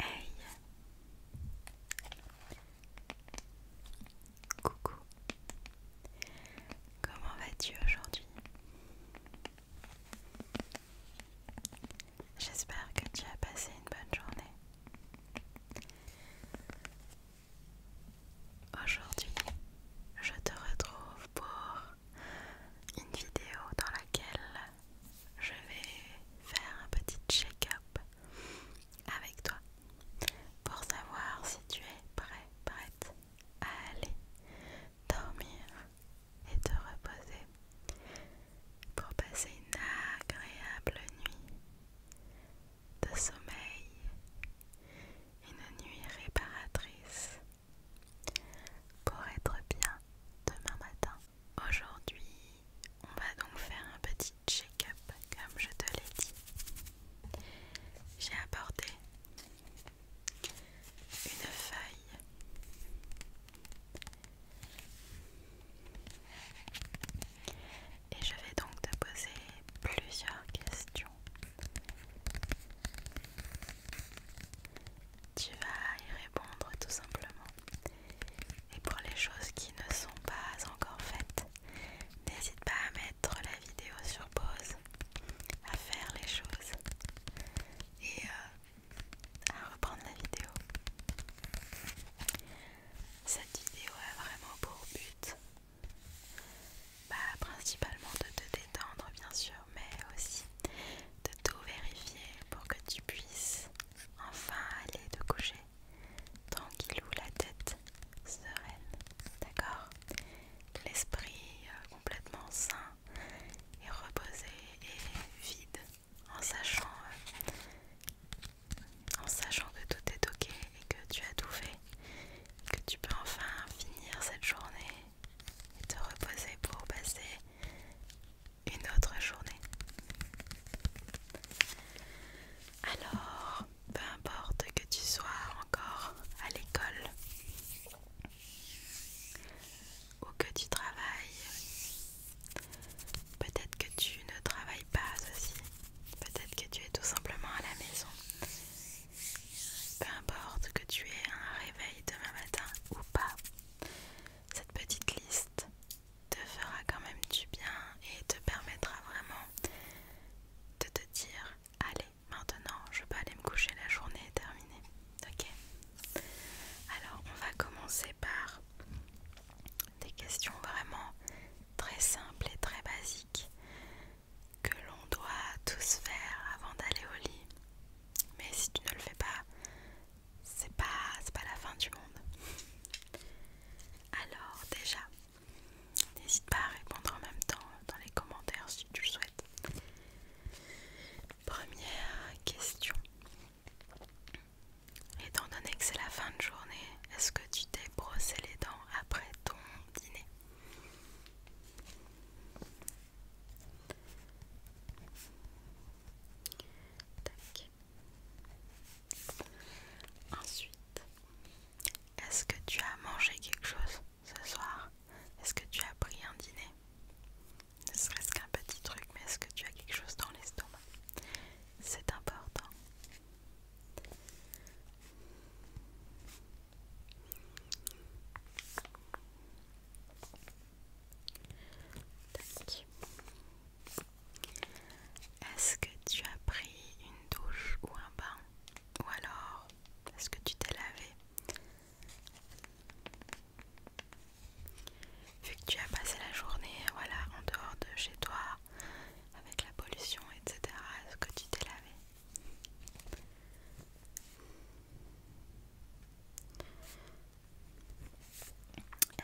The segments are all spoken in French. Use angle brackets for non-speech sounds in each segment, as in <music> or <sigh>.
Hey Coucou Comment vas-tu aujourd'hui J'espère que tu as passé une bonne journée. Aujourd'hui, je te retrouve pour une vidéo dans laquelle je vais faire un petit check-up avec toi pour savoir si tu es prêt, prête à aller dormir et te reposer pour passer une agréable nuit de sommeil, une nuit réparatrice pour être bien demain matin. Aujourd'hui, on va donc faire un petit check-up comme je te l'ai dit. J'ai apporté une feuille et je vais donc te poser plusieurs questions tu vas y répondre tout simplement. Et pour les choses qui ne sont pas encore faites, n'hésite pas à mettre la vidéo sur pause, à faire les choses et euh, à reprendre la vidéo. Cette vidéo a vraiment pour but bah, principalement de te détendre bien sûr, mais aussi de tout vérifier pour que tu puisses enfin aller te coucher tranquille ou la tête sereine, d'accord L'esprit euh, complètement sain et reposé et vide en sachant, euh, en sachant que tout est ok et que tu as tout fait, que tu peux enfin finir cette journée et te reposer pour passer une autre journée. Alors, peu importe que tu sois encore à l'école ou que tu travailles, peut-être que tu ne travailles pas aussi, peut-être que tu es tout simplement à la maison. Peu importe que tu aies un réveil demain matin ou pas, cette petite liste te fera quand même du bien et te permettra vraiment de te dire allez maintenant je peux aller me coucher la journée est terminée ok alors on va commencer par des questions vraiment très simples et très basiques que l'on doit tous faire avant d'aller au lit. Mais si tu ne le fais pas, c'est pas, pas la fin du monde. Alors déjà, n'hésite pas à répondre en même temps dans les commentaires si tu le souhaites. Première question. Étant donné que c'est la fin de journée, est-ce que tu t'es brossé les dents après ton dîner Ensuite, est-ce que tu as mangé quelque chose ce soir Est-ce que tu as pris un dîner Ne serait-ce qu'un petit truc, mais est-ce que tu as quelque chose dans l'estomac C'est important. Est-ce que tu as pris une douche ou un bain Ou alors, est-ce que tu t'es lavé Vu que tu as passé la journée voilà, en dehors de chez toi, avec la pollution, etc., est-ce que tu t'es lavé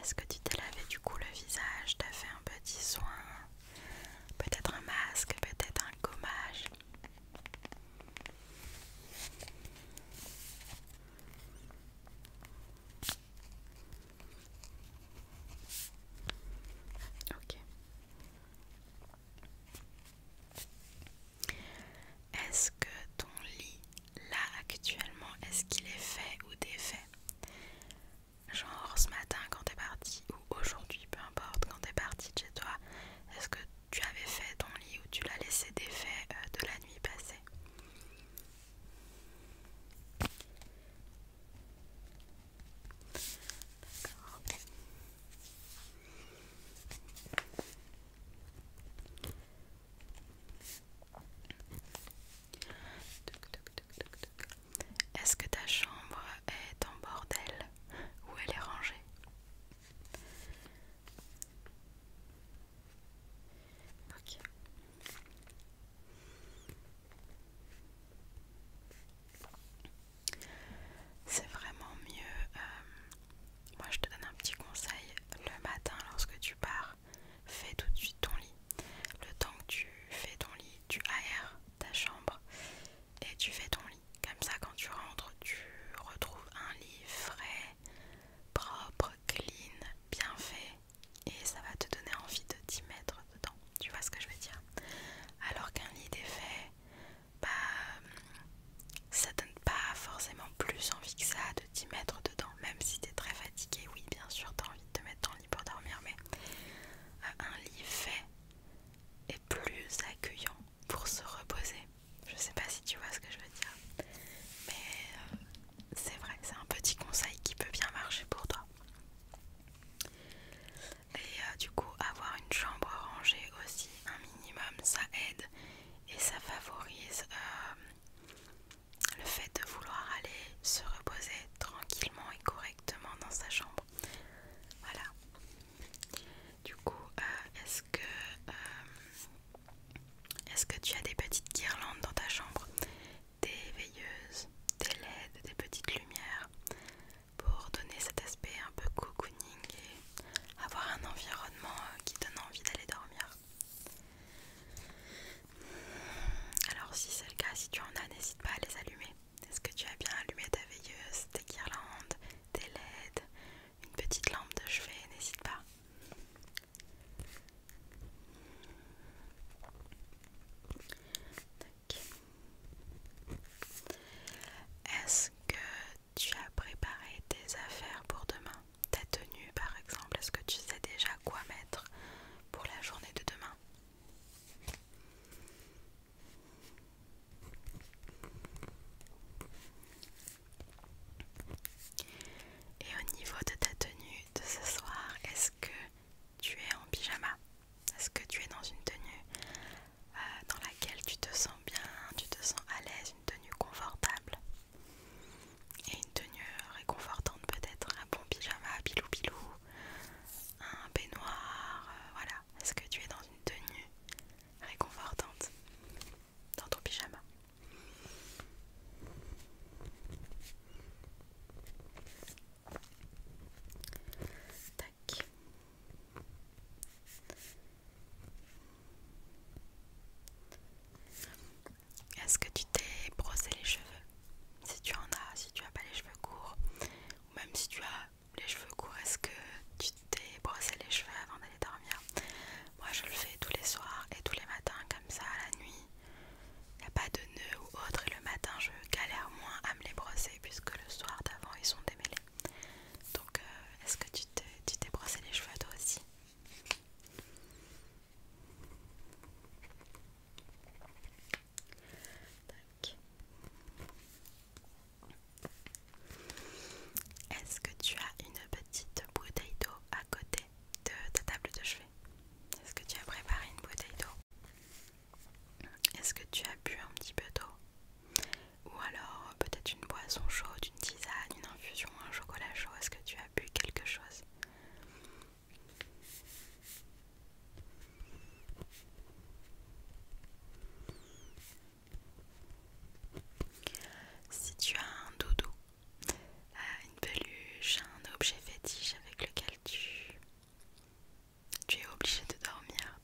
est-ce que tu t'es lavé du coup le visage T'as fait un petit soin Peut-être un masque, peut-être un gommage Ok. Est-ce que ton lit, là actuellement, est-ce qu'il est fait ou défait Genre ce matin quand t'es parti, ou aujourd'hui, peu importe, quand t'es parti de chez toi, est-ce que tu avais fait ton lit ou tu l'as laissé défait euh, de la nuit passée D'accord. Est-ce que ta chambre est en bordel ou elle est rangée C'est vraiment mieux euh, moi je te donne un petit conseil, le matin lorsque tu pars, fais tout de suite ton lit. Le temps que tu fais ton lit, tu aères ta chambre et tu fais ton lit. Comme ça quand tu rentres, tu retrouves un lit frais, propre, clean, bien fait et ça va te donner envie de t'y mettre dedans. Tu vois ce que je veux dire Alors qu'un lit est fait bah, hum, ça donne pas forcément plus envie que ça de t'y mettre dedans, même si t'es très fatigué. Oui, bien sûr, t'as envie de te mettre dans le lit pour dormir, mais euh, un lit fait est plus accueillant pour se reposer. Je sais pas si tu vois ce que je veux dire, mais euh, c'est vrai, c'est un petit conseil qui peut bien marcher pour toi. Et euh, du coup, avoir une chambre rangée aussi, un minimum, ça aide et ça favorise euh, le fait de vouloir aller se reposer tranquillement et correctement dans sa chambre. Voilà. Du coup, euh, est-ce que euh, est-ce que tu as des petites guirlandes dans ta chambre, des veilleuses, des LED, des petites lumières pour donner cet aspect un peu coucou et avoir un environnement euh, qui donne envie d'aller dormir. Alors si c'est le cas, si tu en as, n'hésite pas à les allumer. Est-ce que tu as bien allumé ta veilleuse, tes guirlandes, tes LED, une petite lampe de chevet N'hésite pas. Est-ce que tu as préparé tes affaires pour demain Ta tenue par exemple, est-ce que tu sais déjà quoi mettre pour la journée de demain Et au niveau de ta tenue de ce soir, est-ce que tu es en pyjama Est-ce que tu es dans une tenue euh, dans laquelle tu te sens bien, tu te sens à l'aise, une tenue confortable et une tenue réconfortante peut-être un bon pyjama pilou pilou un baignoire euh, voilà est-ce que tu es dans une tenue réconfortante dans ton pyjama est-ce que tu t'es brossé les cheveux Si tu en as, si tu n'as pas les cheveux courts, ou même si tu as les cheveux courts, est-ce que tu t'es brossé les cheveux avant d'aller dormir Moi je le fais tous les soirs et tous les matins comme ça à la nuit. Il n'y a pas de nœud ou autre et le matin je galère moins à me les brosser puisque le soir d'avant ils sont démêlés. Donc, euh, est-ce que tu t'es brossé les cheveux à toi aussi Est-ce que tu as une petite bouteille d'eau à côté de ta table de chevet Est-ce que tu as préparé une bouteille d'eau Est-ce que tu as bu un petit peu d'eau ou alors peut-être une boisson chaude, une tisane, une infusion, un chocolat chaud. Est-ce que tu as bu quelque chose Si tu as un doudou, euh, une peluche, un objet fétiche avec lequel tu, es obligé de dormir,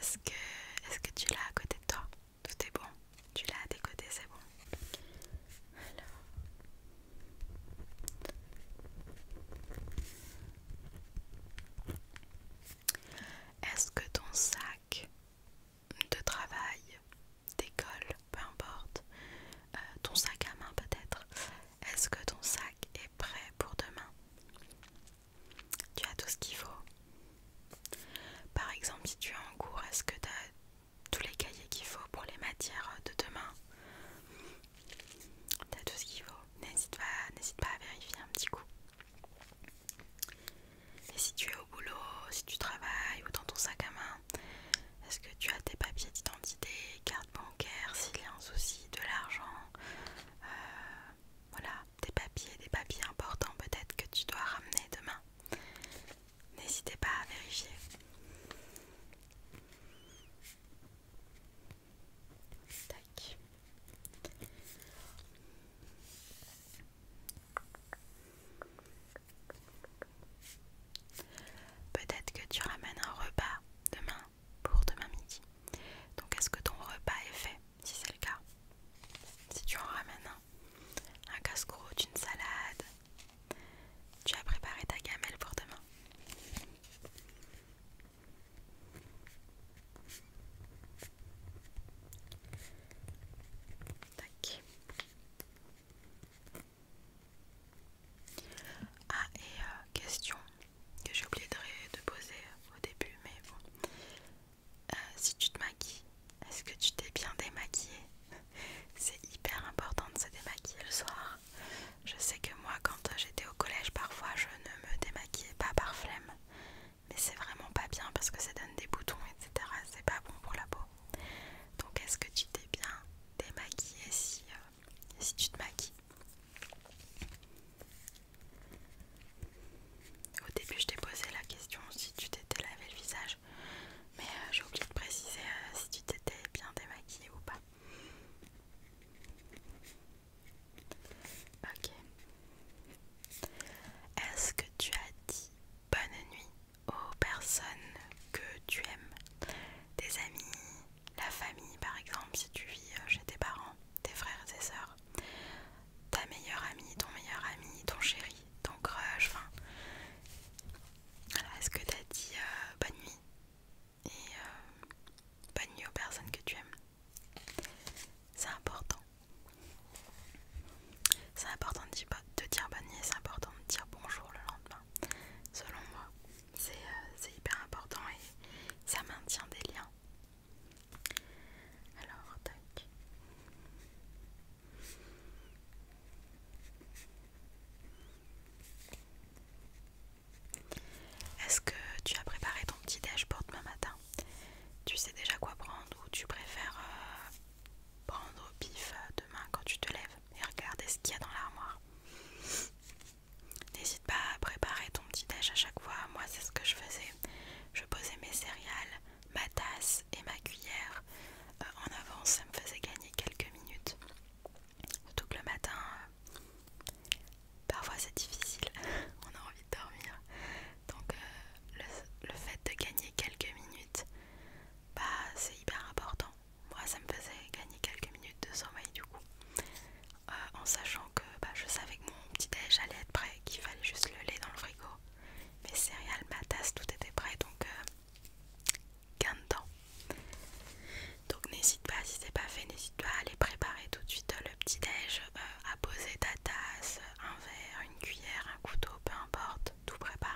est-ce que tu l'as à côté de toi tout est bon. Tu l'as à tes côtés, c'est bon. Est-ce que ton sac de travail, d'école, peu importe, euh, ton sac à main peut-être, est-ce que ton sac est prêt pour demain Tu as tout ce qu'il faut par exemple, si tu es en cours, est-ce que tu as tous les cahiers qu'il faut pour les matières de demain Tu as tout ce qu'il faut. N'hésite pas, n'hésite pas à vérifier un petit coup. Et si tu es au boulot, si tu travailles ou dans ton sac à main, est-ce que tu as tes papiers d'identité, carte bancaire, s'il y a un souci, de l'argent euh, Voilà, des papiers, des papiers importants peut-être que tu dois ramener demain. N'hésitez pas à vérifier. Peut-être que tu ramènes un repas demain pour demain midi. Donc est-ce que ton repas est fait Si c'est le cas, si tu en ramènes un casse-croûte, une salade. Tu as préparé ta gamelle pour demain. Tac. Ah et euh, question que j'ai oublié de poser au début mais bon euh, si tu te maquilles, est-ce que tu t'es bien démaquillée <laughs> C'est hyper important de se démaquiller le soir. Je sais que moi, quand euh, j'étais au collège, parfois je ne me démaquillais pas par flemme, mais c'est vraiment pas bien parce que ça donne des boutons, etc. C'est pas bon pour la peau. Donc, est-ce que tu t'es bien démaquillée si, euh, si tu te maquilles au début, je t'ai posé la question si tu t'étais lavé le visage, mais euh, j'ai oublié de préciser euh, si tu t'étais bien démaquillée ou pas. Ok. Est-ce que tu as dit bonne nuit aux personnes que tu aimes Tes amis, la famille par exemple, si tu vis euh, chez tes parents, tes frères et tes sœurs, ta meilleure amie, ton meilleur ami, ton chéri, ton crush, enfin. est-ce que t'as dit euh, bonne nuit et euh, bonne nuit aux personnes que tu aimes C'est important. C'est important de dire, bonne nuit c'est important de dire bonjour le lendemain. Selon moi, c'est euh, hyper important et ça maintient des liens. Alors, tac. Est-ce que tu as préparé ton petit déj pour demain matin Tu sais déjà quoi prendre ou tu préfères euh, prendre au pif euh, demain quand tu te lèves et regarder ce qu'il y a dans l'armoire N'hésite pas à préparer ton petit déj à chaque fois. Moi, c'est ce que je faisais. Je posais mes céréales, ma tasse et ma cuillère euh, en avance, ça me faisait gagner quelques minutes. Surtout que le matin, euh, parfois c'est difficile, <laughs> on a envie de dormir. Donc euh, le, fait de gagner quelques minutes, bah, c'est hyper important. Moi ça me faisait gagner quelques minutes de sommeil du coup. en sachant que bah, je savais que mon petit déj allait être prêt, qu'il fallait juste le lait dans le frigo mes céréales, ma tasse, tout était prêt donc euh, gain de temps. Donc n'hésite pas, si c'est pas fait, n'hésite pas à aller préparer tout de suite euh, le petit déj, euh, à poser ta tasse, un verre, une cuillère, un couteau, peu importe, tout préparer.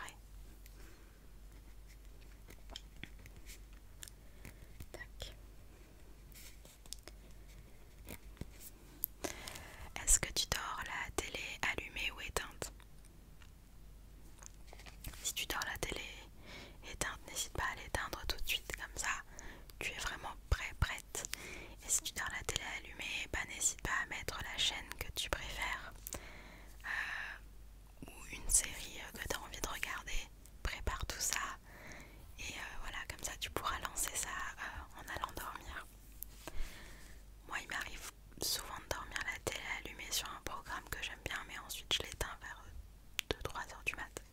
Est-ce que tu dors la télé allumée ou éteinte Si tu dors la télé éteinte, n'hésite pas à l'éteindre tout de suite, comme ça tu es vraiment prêt, prête. Et si tu dors la télé allumée, bah, n'hésite pas à mettre la chaîne que tu préfères euh, ou une série que tu as envie de regarder. Prépare tout ça et euh, voilà, comme ça tu pourras lancer ça euh, en allant dormir. Moi, il m'arrive souvent de dormir la télé allumée sur un programme que j'aime bien, mais ensuite je l'éteins vers 2-3 heures du matin.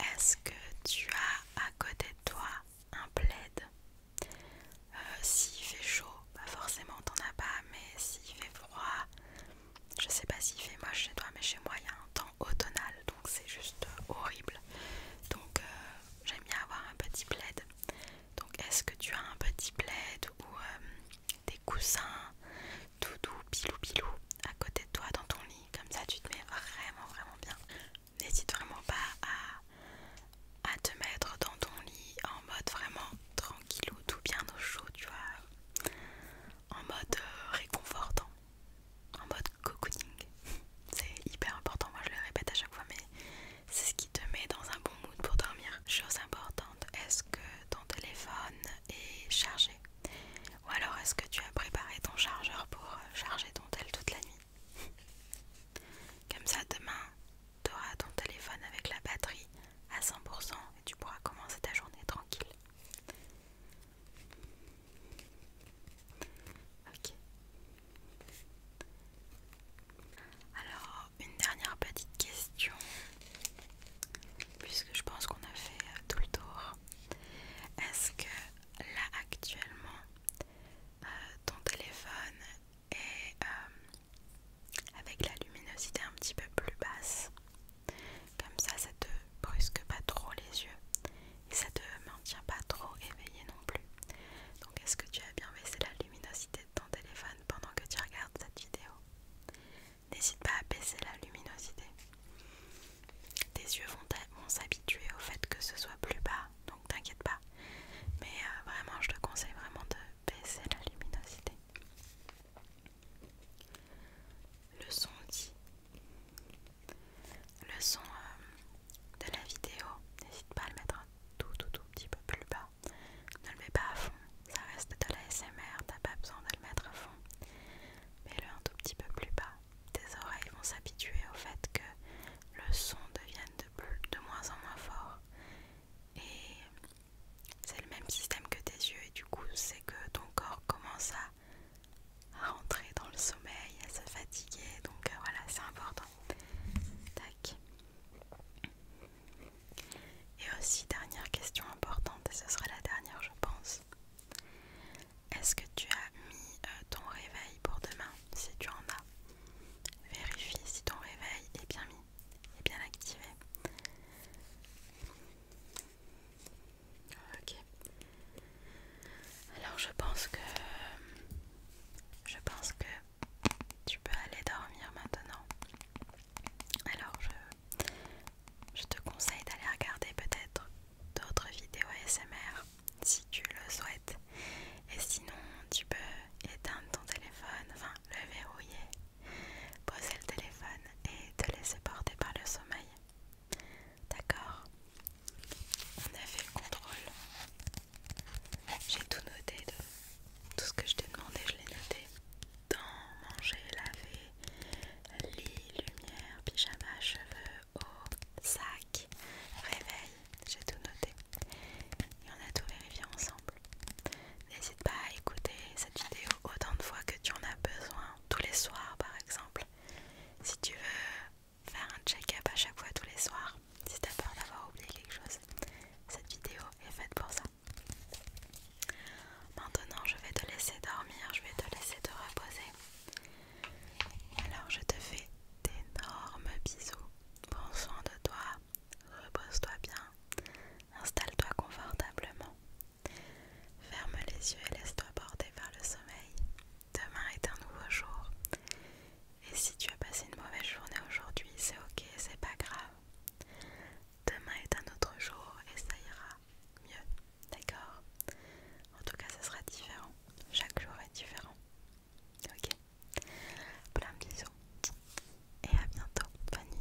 Est-ce que tu as à côté de toi un plaid euh, S'il fait chaud, bah, forcément t'en as pas, mais s'il fait froid, je sais pas s'il fait moche chez toi, mais chez moi il y a un temps automnal donc c'est juste euh, horrible. Donc euh, j'aime bien avoir un petit plaid. Donc est-ce que tu as un petit plaid ou euh, des coussins tout doux, pilou pilou à côté de toi dans ton lit Comme ça tu te mets vraiment vraiment bien. N'hésite vraiment pas à te mettre dans ton lit en mode vraiment ou tout bien au chaud, tu vois, en mode euh, réconfortant, en mode cocooning. <laughs> C'est hyper important, moi je le répète à chaque fois, mais c'est ce qui te met dans un bon mood pour dormir. Chose importante, est-ce que ton téléphone est chargé Ou alors est-ce que tu as préparé ton chargeur pour euh, charger ton tel toute la nuit <laughs> Comme ça, demain, tu auras ton téléphone avec la batterie à 100% et tu pourras commencer ta journée tranquille. Ok. Alors, une dernière petite question, puisque je pense qu'on a fait euh, tout le tour. Est-ce que là actuellement, euh, ton téléphone est euh, avec la luminosité un petit peu plus basse. Comme ça, ça te brusque pas trop les yeux et ça te maintient pas trop éveillé non plus. Donc, est-ce que tu as bien baissé la luminosité de ton téléphone pendant que tu regardes cette vidéo N'hésite pas à baisser la luminosité. Tes yeux vont, s'habituer au fait que ce soit plus bas, donc t'inquiète pas. Mais euh, vraiment, je te conseille vraiment de baisser la luminosité le son dit le son euh, de la vidéo n'hésite pas à le mettre un tout tout tout petit peu plus bas ne le mets pas à fond ça reste de la SMR t'as pas besoin de le mettre à fond mais le un tout petit peu plus bas tes oreilles vont s'habituer au fait que le son devienne de, plus, moins en moins fort et c'est le même système que tes yeux et du coup c'est que ton corps commence à, rentrer dans le sommeil, à se fatiguer. Donc euh, voilà, c'est important. Tac. Et aussi, dernière question importante, et ce sera la dernière je pense. Est-ce que tu as mis euh, ton réveil pour demain si tu en as Vérifie si ton réveil est bien mis, est bien activé. Ok. Alors je pense que je pense que tu peux aller dormir maintenant. Alors je te conseille d'aller regarder peut-être d'autres vidéos ASMR si tu le souhaites. Et sinon, tu peux éteindre ton téléphone, enfin le verrouiller Poser le téléphone et te laisser porter par le sommeil. D'accord On a fait le contrôle. J'ai tout noté. Tout ce que je t'ai demandé, je l'ai noté. Dans manger, laver, lit, lumière, pyjama, cheveux, eau, sac, réveil. J'ai tout noté. Et on a tout vérifié ensemble. N'hésite pas à écouter cette vidéo autant de fois que tu en as besoin, tous les soirs par exemple. Si tu veux faire un check-up à chaque fois tous les soirs, si tu as peur d'avoir oublié quelque chose, cette vidéo est faite pour ça. Maintenant, je vais te laisser dormir, je vais te laisser te reposer. Alors, je te fais d'énormes bisous. Prends soin de toi, repose-toi bien, installe-toi confortablement Ferme les yeux et laisse-toi porter vers le sommeil. Demain est un nouveau jour. Et si tu as passé une mauvaise journée aujourd'hui, c'est ok, c'est pas grave. Demain est un autre jour et ça ira mieux, d'accord En tout cas, ce sera différent. Chaque jour est différent. Ok Plein de bisous. Et à bientôt, Fanny.